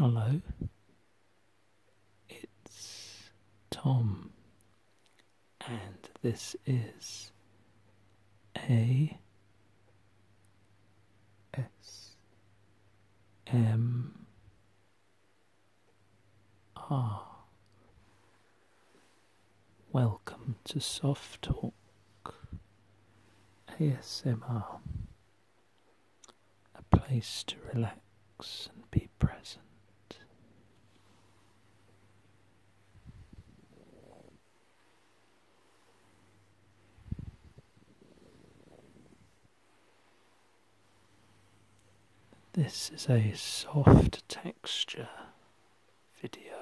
Hello, it's Tom, and this is A S M Ah, welcome to Soft Talk ASMR, a place to relax and be present. This is a soft texture video.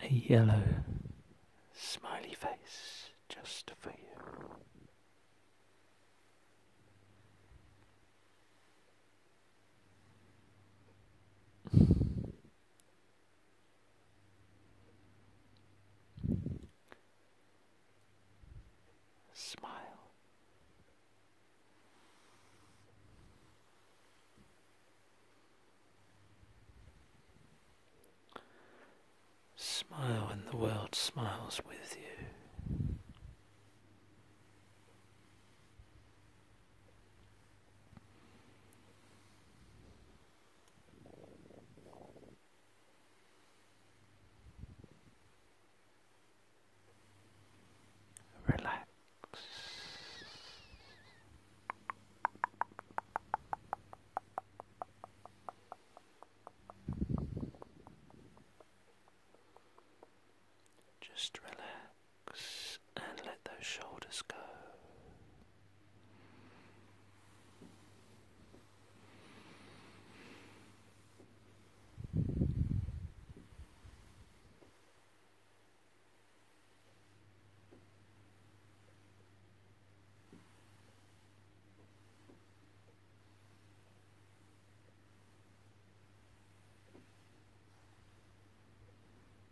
A yellow smiley face just for you. Smile. Smile and the world smiles with you. Relax. Just relax and let those shoulders go.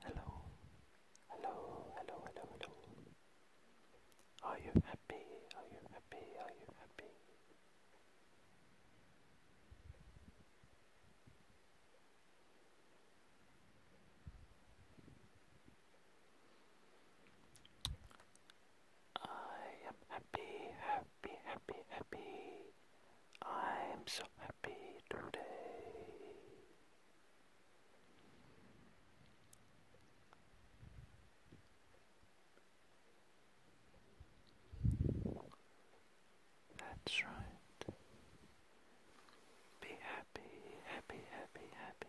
Hello, hello, hello, hello, hello. Are you happy? Are you happy? Are you happy? I am happy, happy, happy, happy. I'm so happy today. That's right. Be happy, happy, happy, happy.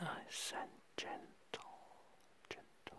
Nice and gentle, gentle.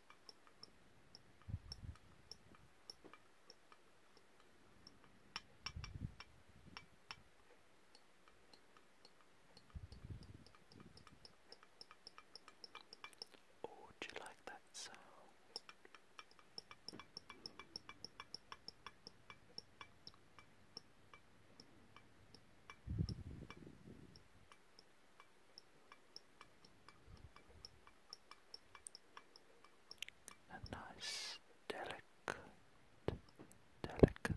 Oh, do you like that sound? A nice, delicate, delicate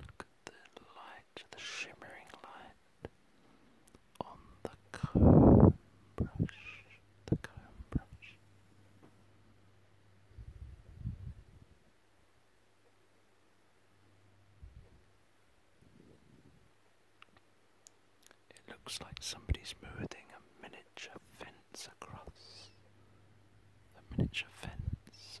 Look at the light, the shimmering light on the comb brush, the comb brush. It looks like somebody's moving a miniature fence across. A miniature fence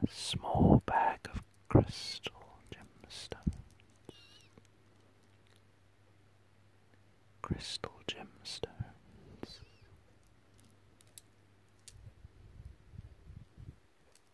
A small bag of crystal gemstones. Crystal gemstones.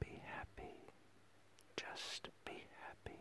Be happy just be happy.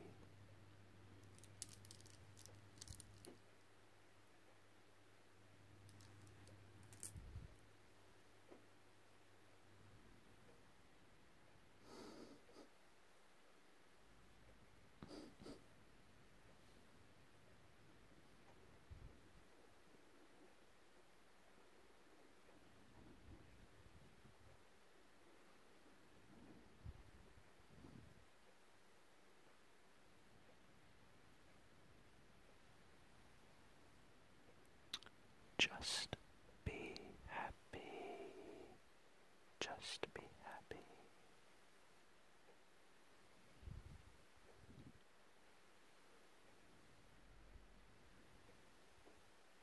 Just be happy. Just be happy.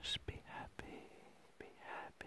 Just be happy, be happy.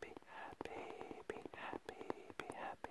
Be happy, be happy, be happy.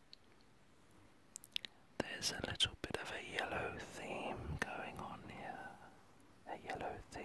There's a little bit of a yellow theme going on here. A yellow theme.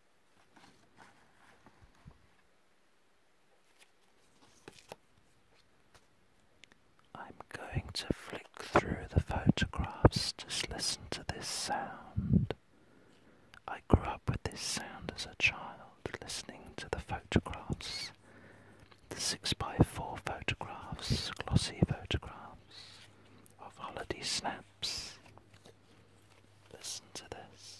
I'm going to flick through the photographs, just listen to this sound. I grew up with this sound as a child, listening to the photographs, the 6x4 photographs, glossy photographs of holiday snaps listen to this.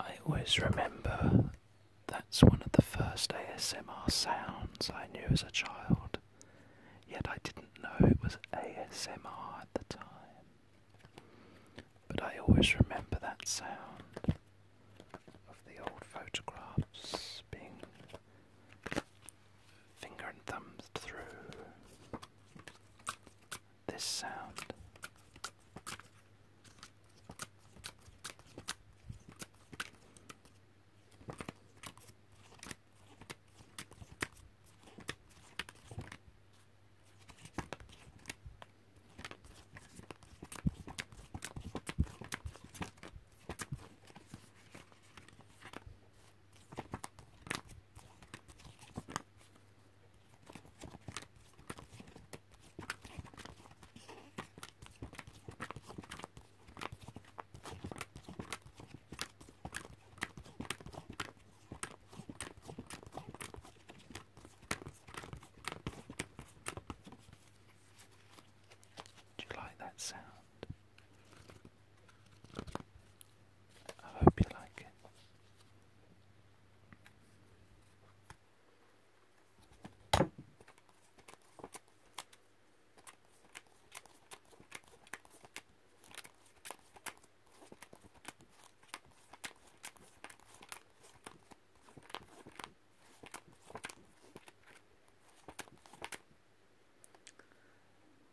I always remember that's one of the first ASMR sounds I knew as a child, yet I didn't know it was ASMR at the time. But I always remember that sound of the old photographs being finger and thumb through this sound. Do you like that sound? I hope you like it.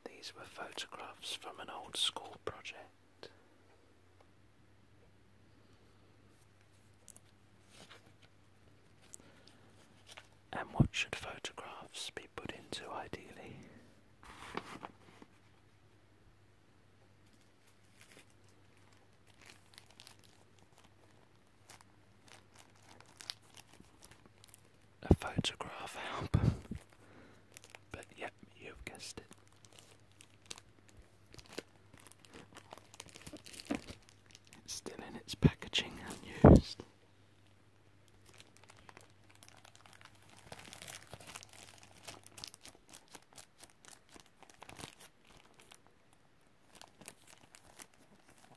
These were photographs from an old school project. And what should photographs be put into ideally? a photograph album. But yep, you've guessed it. It's still in its packaging, unused.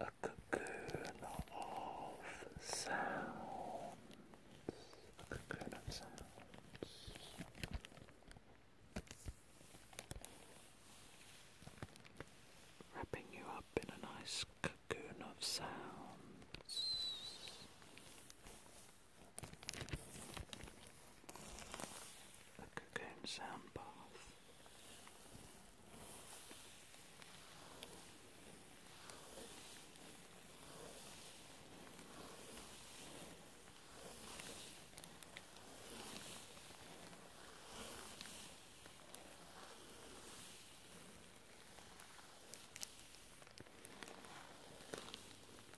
a cocoon of sounds, cocoon of sounds. Wrapping you up in a nice cocoon of sounds. The Cocoon Sound Bath.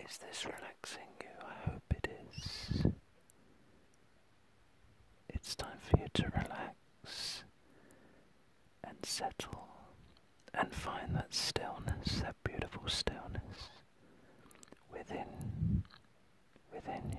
Is this relaxing you? I hope it is. It's time for you to relax and settle and find that stillness, that beautiful stillness within within you.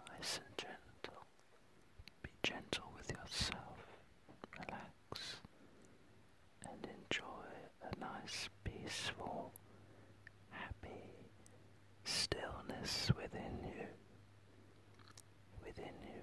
Nice and gentle. Be gentle with yourself, relax, and enjoy a nice, peaceful, happy stillness within you. Within you.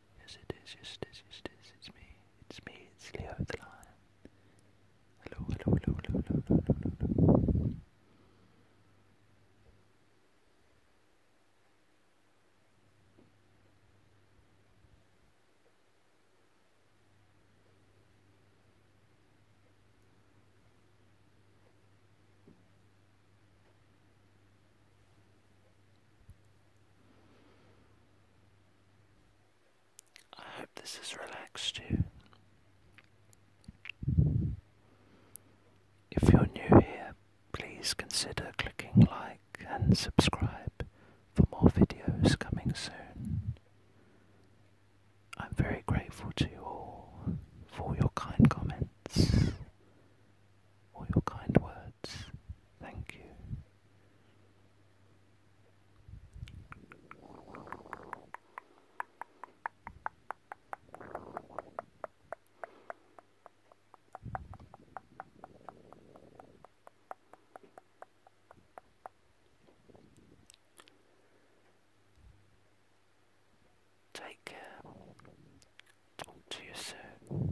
Yes it is, yes it is, yes it is, it's me, it's me, it's Leo the Lion. Hello, hello, hello, hello, hello, hello, hello, hello. I hope this has relaxed you. If you're new here, please consider clicking like and subscribe for more videos coming soon. I'm very grateful to you all for your kind comments all your kind words. Thank you. Take care Talk to yourself.